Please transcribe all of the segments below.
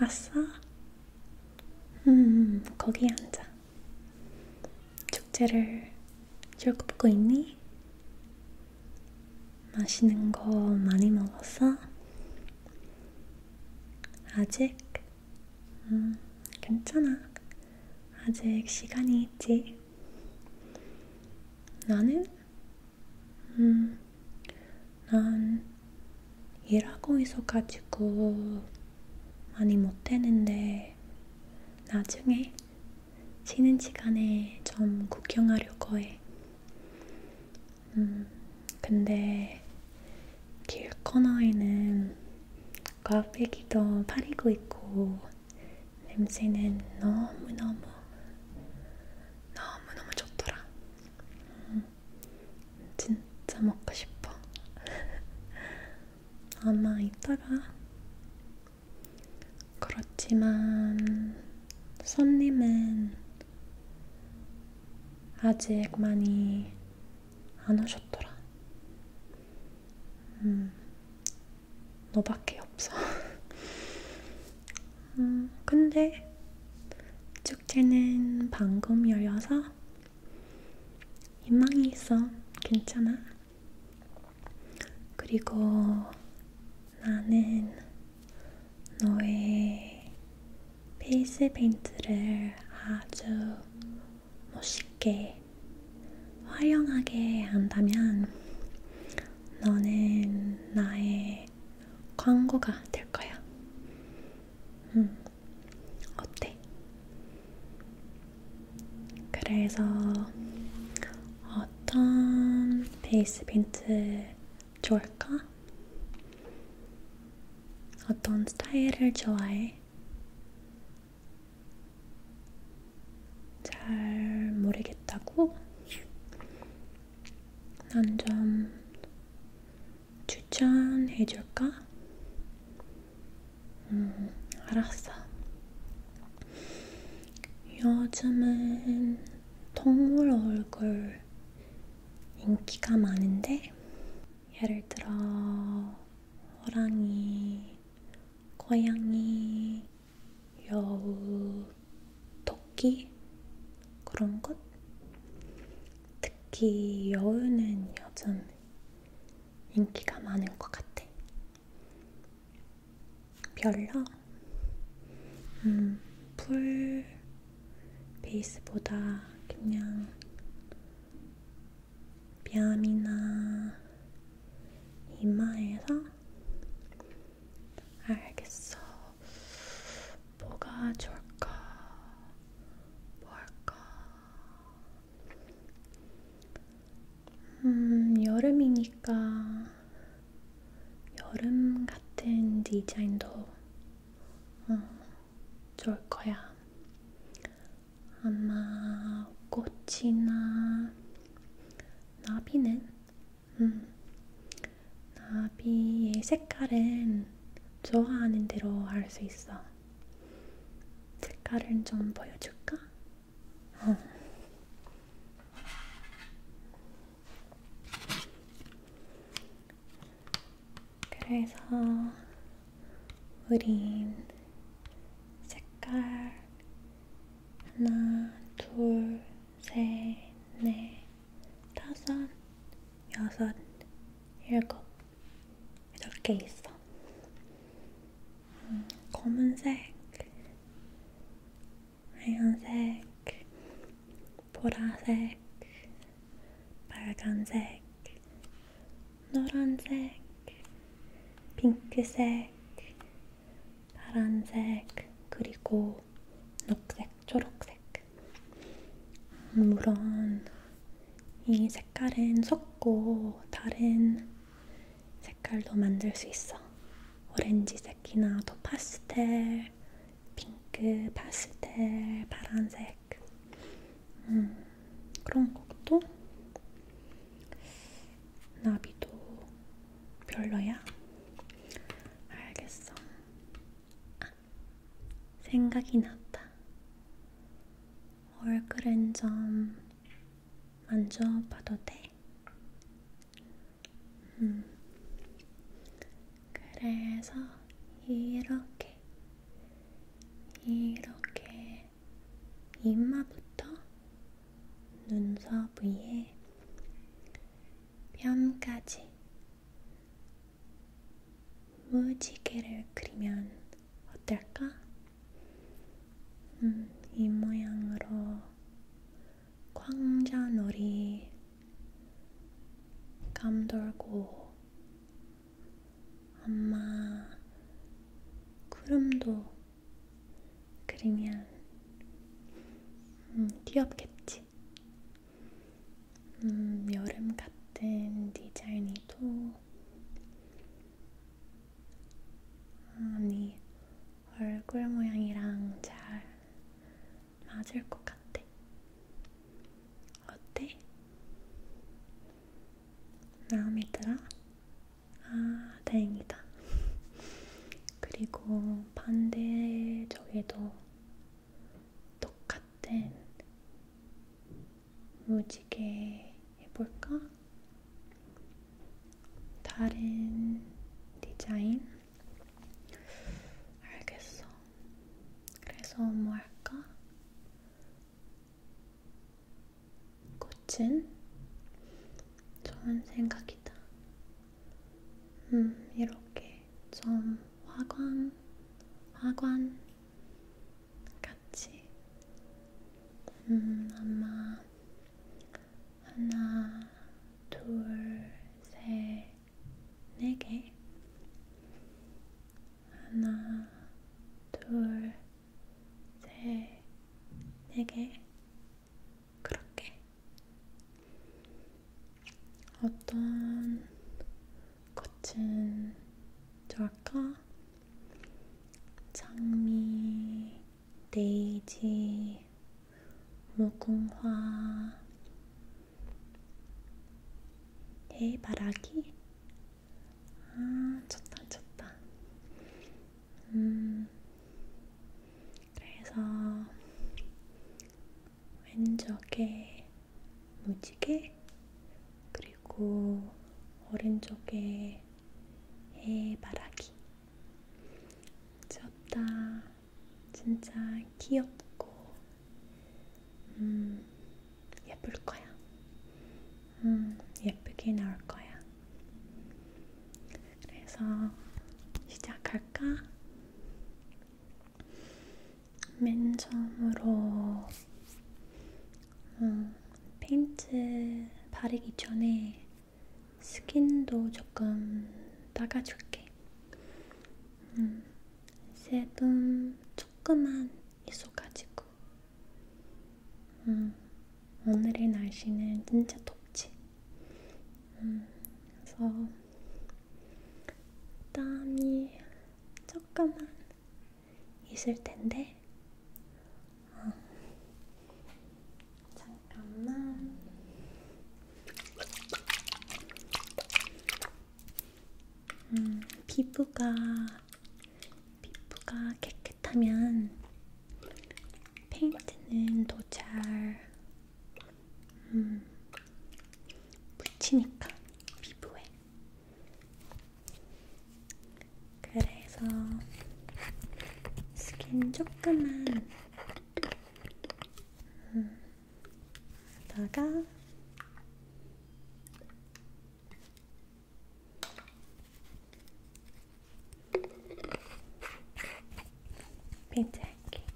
왔어? 음, 거기 앉아. 축제를 쭉 보고 있니? 맛있는 거 많이 먹었어? 아직? 음, 괜찮아. 아직 시간이 있지. 나는 음, 난 일하고 있어가지고 많이 못했는데 나중에 쉬는 시간에 좀 구경하려고 해. 음, 근데 길 코너에는 꽈배기도 팔리고 있고 냄새는 너무너무 너무너무 좋더라. 음. 진짜 먹고 싶어. 아마 이따가 그렇지만 손님은 아직 많이 안 오셨더라. 음, 너밖에 없어. 음, 근데 축제는 방금 열려서 희망이 있어. 괜찮아. 그리고 나는 너의 페이스 페인트를 아주 멋있게 활용하게 한다면 너는 나의 내 광고가 될 거야. 음, 어때? 그래서 어떤 베이스 빈트 좋을까? 어떤 스타일을 좋아해? 잘 모르겠다고? 난좀 추천해줄까? 음, 알았어. 요즘은 동물 얼굴 인기가 많은데, 예를 들어, 호랑이, 고양이, 여우, 토끼 그런 것? 특히 여우는 요즘 인기가 많은 것 같아. 별로? 음, 풀 베이스보다 그냥 뺨이나 이마에서 알겠어. 뭐가 좋을까? 뭐 할까? 음, 여름이니까 여름 같은 디자인도 어, 좋을 거야. 아마 꽃이나 나비는 음, 나비의 색깔은 좋아하는 대로 할 수 있어. 색깔은 좀 보여줄까? 어. 그래서 우린 색깔 하나, 둘, 셋, 넷, 다섯, 여섯, 일곱 이렇게 있어. 음, 검은색, 하얀색, 보라색, 빨간색, 노란색, 핑크색, 파란색, 그리고 있고 녹색, 초록색 물론 이 색깔은 섞고 다른 색깔도 만들 수 있어 오렌지색이나 더 파스텔, 핑크, 파스텔, 파란색 음, 그런 것도 나비도 별로야? 알겠어 아, 생각이 났다. 얼굴은 좀 만져봐도 돼? 음. 그래서 이렇게, 이렇게 이마부터 눈썹 위에 뺨까지 무지개를 그리면 어떨까? 음, 이 모양으로 광자놀이 감돌고 엄마 구름도 그리면 음, 귀엽겠지? 음, 여름 같은 디자인이도 아니 얼굴 모양이랑 잘 맞을 것 같아. 어때? 마음에 들어? 아, 다행이다. 그리고 반대 저에도 똑같은 무지개 해볼까? 다른 디자인? 알겠어. 그래서 뭐 할까? 꽃은? 좋은 생각이다. 음, 이렇게 좀 화관, 화관 같이 음, 아마 하나, 둘, 셋, 네 개. 하나, 둘, 셋, 네 개. 그렇게 어떤 거친 절까? 장미, 데이지, 무궁화, 해바라기? 아, 좋다, 좋다. 음, 그래서 왼쪽에 무지개 그리고 오른쪽에 해바라기 귀엽다 진짜 귀엽고 음, 예쁠 거야 음, 예쁘게 나올 거야 그래서 시작할까? 맨 처음으로 어, 페인트 바르기 전에 스킨도 조금 닦아줄게. 음, 세분 조금만 있어가지고. 음, 오늘의 날씨는 진짜 덥지. 음, 그래서 땀이 조금만 있을 텐데 어. 잠깐만 음, 피부가 피부가 깨끗하면 페인트는 더잘 음, 묻히니까 피부에. 그래서 스킨 조금만 음, 하다가 빈트할게.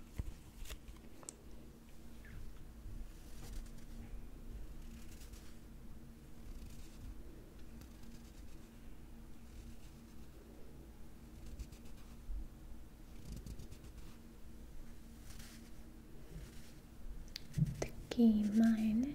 특히 이마에는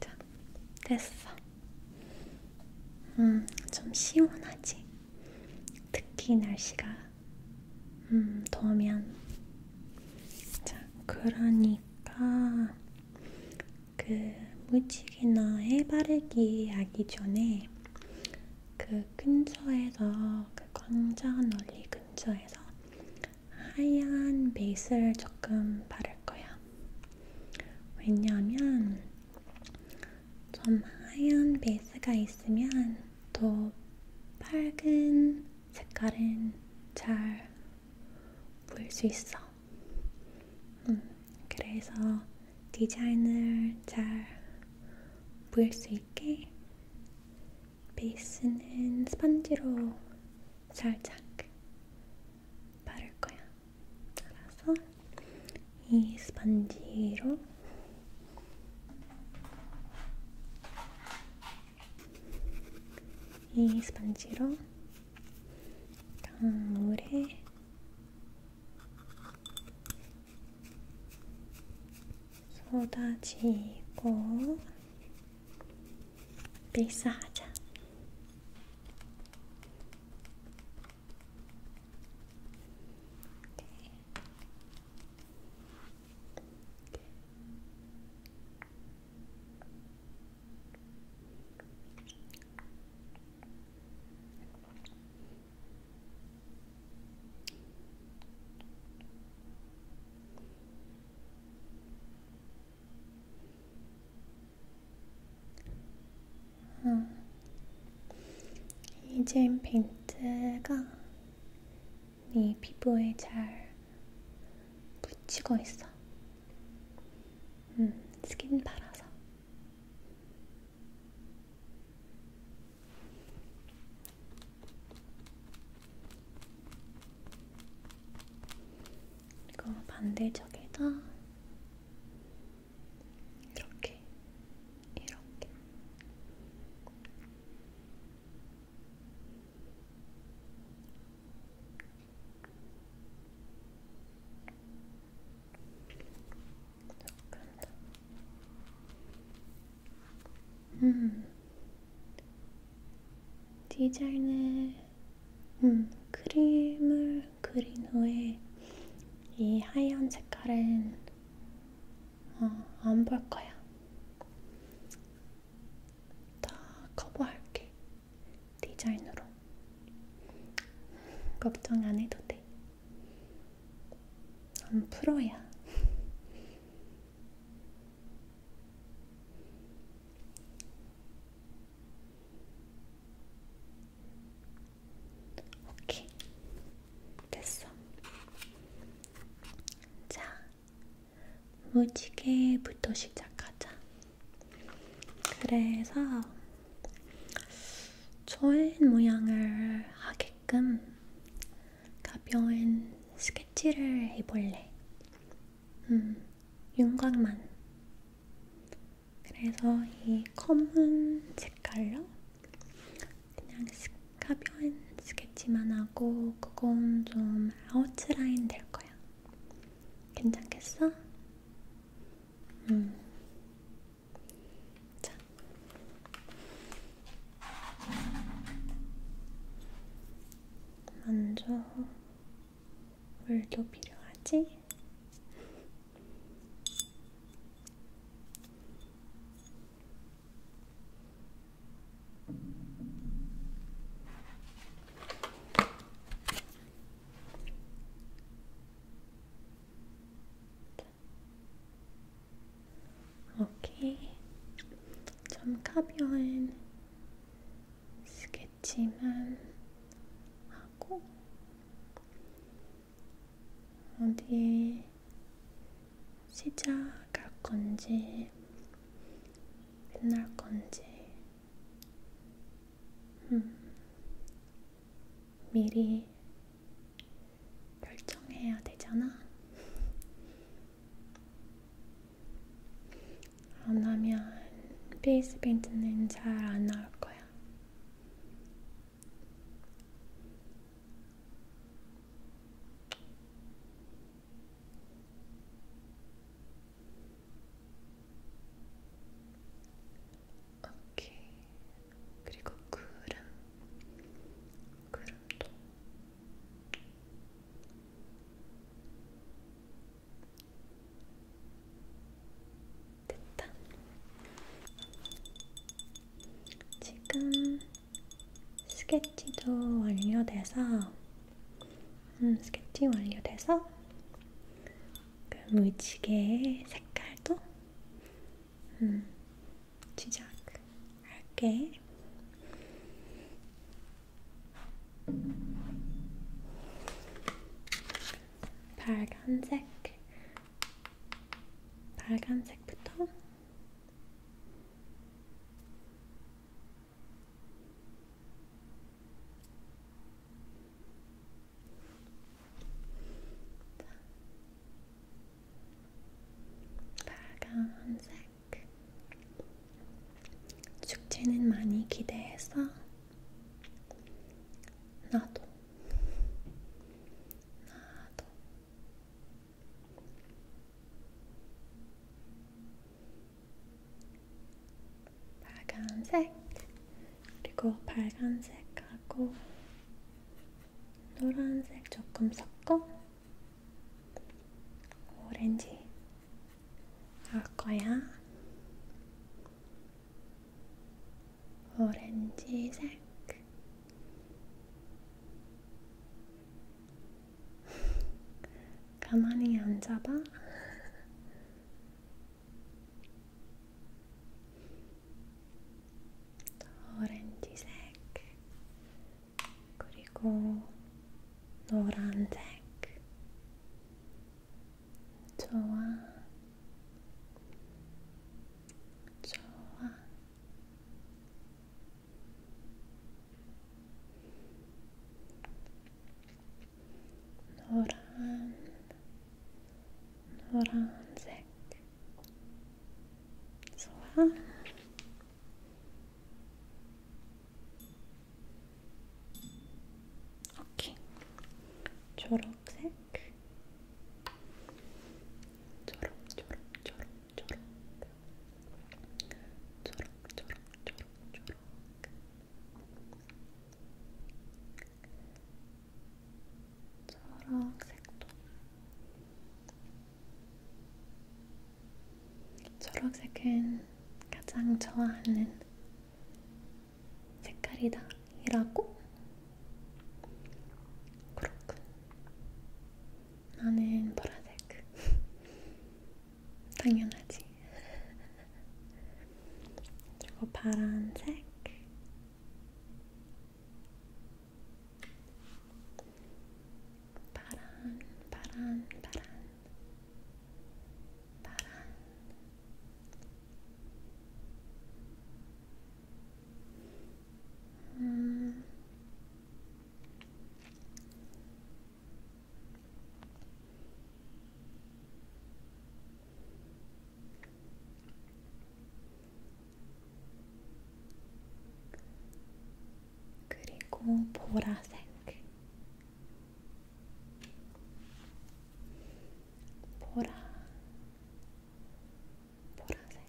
자, 됐어. 음, 좀 시원하지? 특히 날씨가 음, 더우면. 자, 그러니까 그 무지개나 해 바르기 하기 전에 그 근처에서 그 광장 널리 근처에서 하얀 베이스를 조금 바를 거야. 왜냐하면 좀 하얀 베이스가 있으면 더 밝은 색깔은 잘 보일 수 있어. 음, 그래서 디자인을 잘 보일 수 있게 베이스는 스펀지로 살짝 바를 거야. 따라서 이 스펀지로 이 스펀지로 강물에 쏟아지고 필사하자. 이렇게 아, 이제 빈트가 네 피부에 잘 붙이고 있어. 음, 스킨 발라서. 그리고 반대쪽에다 이렇게 이렇게 이렇게 음, 디자인에 음, 크림을 그린 후에 이 하얀 색깔은 어, 안볼 거야. 다 커버할게. 디자인으로. 걱정 안 해도 돼. 난 프로야. 오케이. 됐어. 자, 무지개부터 시작하자. 그래서 조인 모양을 하게 가끔 가벼운 스케치를 해볼래. 음, 윤곽만. 그래서 이 검은 색깔로 그냥 가벼운 스케치만 하고 그건 좀 아웃라인 될 거야. 괜찮겠어? 음. 자, 먼저 물도 필요하지? 오케이. 좀 가벼운 스케치만 하고 어디에 시작할 건지 끝날 건지 음, 미리 결정해야 되잖아. 안 하면 페이스 페인트는 잘 안 나올 거야. 오케이. 그리고 구름. 구름도 됐다. 지금 스케치도 완료돼서, 음, 스케치 완료돼서, 그 무지개의 색깔도 음, 시작할게. 빨간색, 빨간색부터. 빨간색 축제는 많이 기대해서 나도 나도 빨간색 그리고 빨간색하고 노란색 조금 섞어 오렌지 넣을 거야. 오렌지색. 가만히 앉아봐. 오렌지색, 그리고 노란색, 좋아, 좋아. 노란, 노란색, 소화 오케이 초록색 초록 초록 초록 초록 초록 초록 초록 초록 초록색도 초록색은 가장 좋아하는 색깔이다 이라고? 그렇군 나는 보라색 당연하지 그리고 파란색 파란, 파란, 파란, 파란. 음. 그리고 보라색. 보라, 보라색.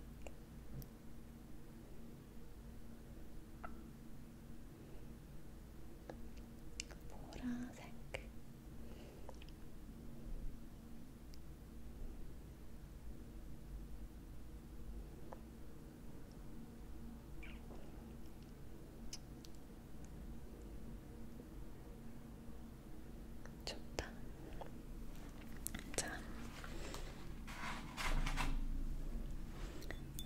보라색 좋다. 자,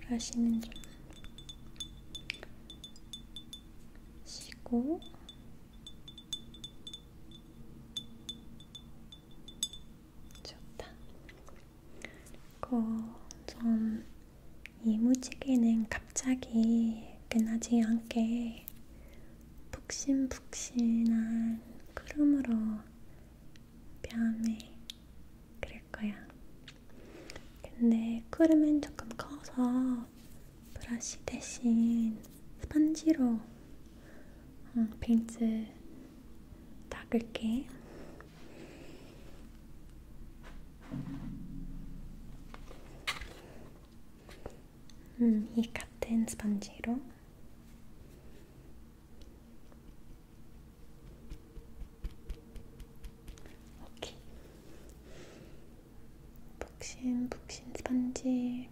브러쉬는 좀 쉬고. 좋다. 그리고 전 이무지개는 갑자기 끝나지 않게 푹신푹신한 크롬으로 뺨에 그릴 거야. 근데 크롬은 조금 커서 브러쉬 대신 스펀지로 어, 빈츠 닦을게. 음, 이 같은 스펀지로. 오케이. 북신 북신 스펀지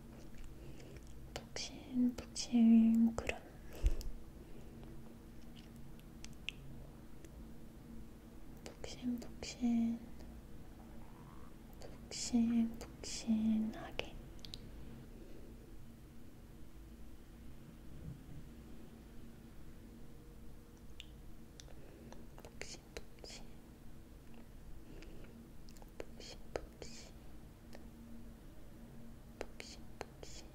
북실북실 구름 북신북신 북신북신하게 북신북신 북신북신 복싱복싱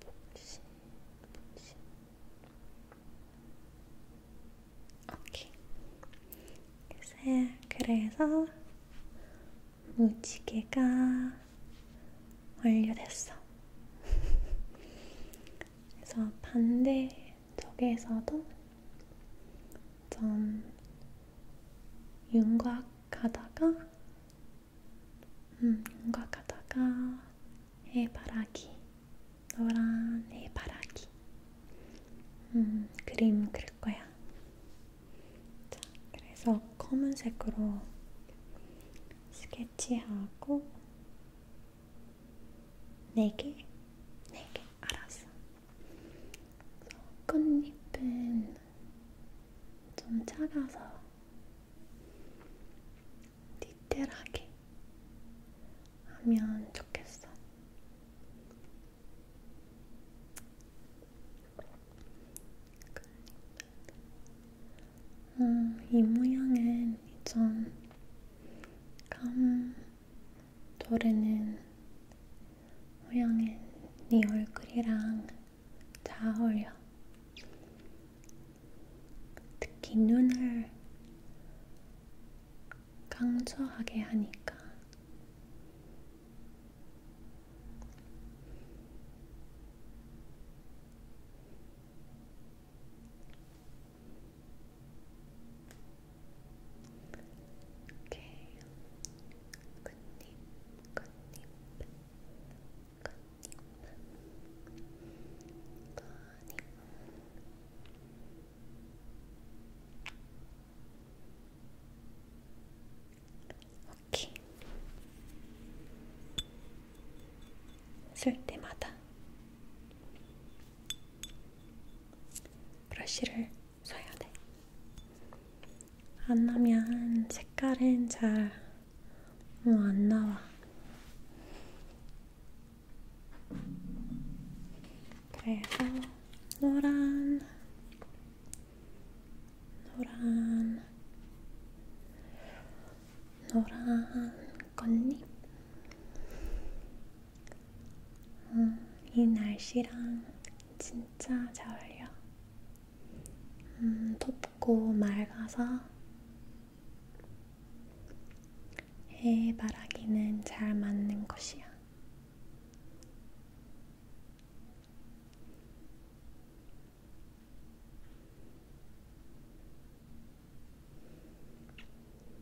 복싱복싱 오케이 글쎄 그래서 무지개가 완료됐어. 그래서 반대 쪽에서도 전 윤곽하다가 음, 윤곽하다가 해바라기 노란 해바라기 음, 그림 그릴 거야. 자, 그래서 검은색으로 스케치하고 네 개, 네 개, 알았어. 끝잎은 좀 작아서 디테일하게 하면 좋겠어. 음, 이 모양은 좀 감. 노래는 모양은 네 얼굴이랑 잘 어울려. 특히 눈을 강조하게 하니까 이렇게 끝잎, 끝잎, 끝잎, 끝잎. 오케이. 쓸 때마다 브러쉬를 써야 돼. 안 나면 색깔은 잘 어, 안 나와. 그래서 노란, 노란, 노란 꽃잎. 어, 이 날씨랑 진짜 잘 어울려. 음, 덥고 맑아서 해바라기는 잘 맞는 것이야.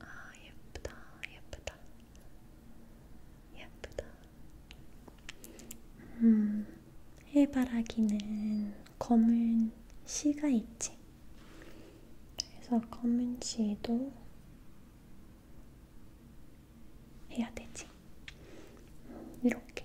아, 예쁘다, 예쁘다, 예쁘다. 음, 해바라기는 검은 씨가 있지. 그래서 검은 씨도 해야 되지. 이렇게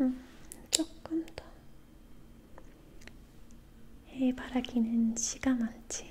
음, 조금 더 해바라기는 지가 많지.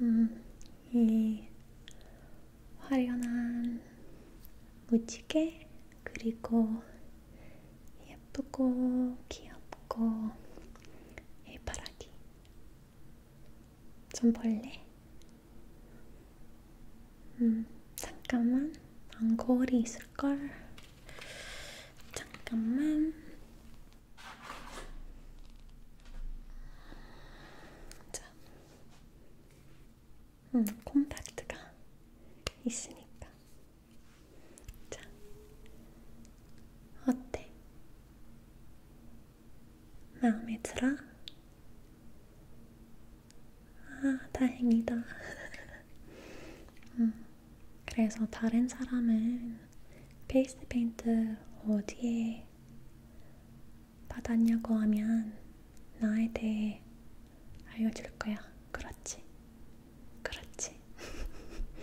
음, 이 화려한 무지개 그리고 예쁘고 귀엽고 해바라기 좀 볼래? 음, 잠깐만 안거울이 있을걸? 잠깐만 자, 음, 콤팩트가 있으니까. 자, 어때? 마음에 들어? 아, 다행이다. 음, 그래서 다른 사람은 페이스 페인트 어디에 받았냐고 하면 나에 대해 알려줄 거야. 그렇지. 그렇지.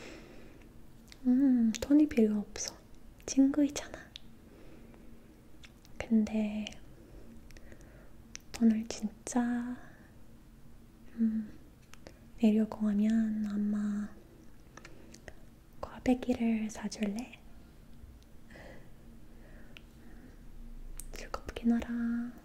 음, 돈이 필요 없어. 친구이잖아. 근데 돈을 진짜 음, 내려고 하면 아마 꽈배기를 사줄래? 즐겁게 놀아.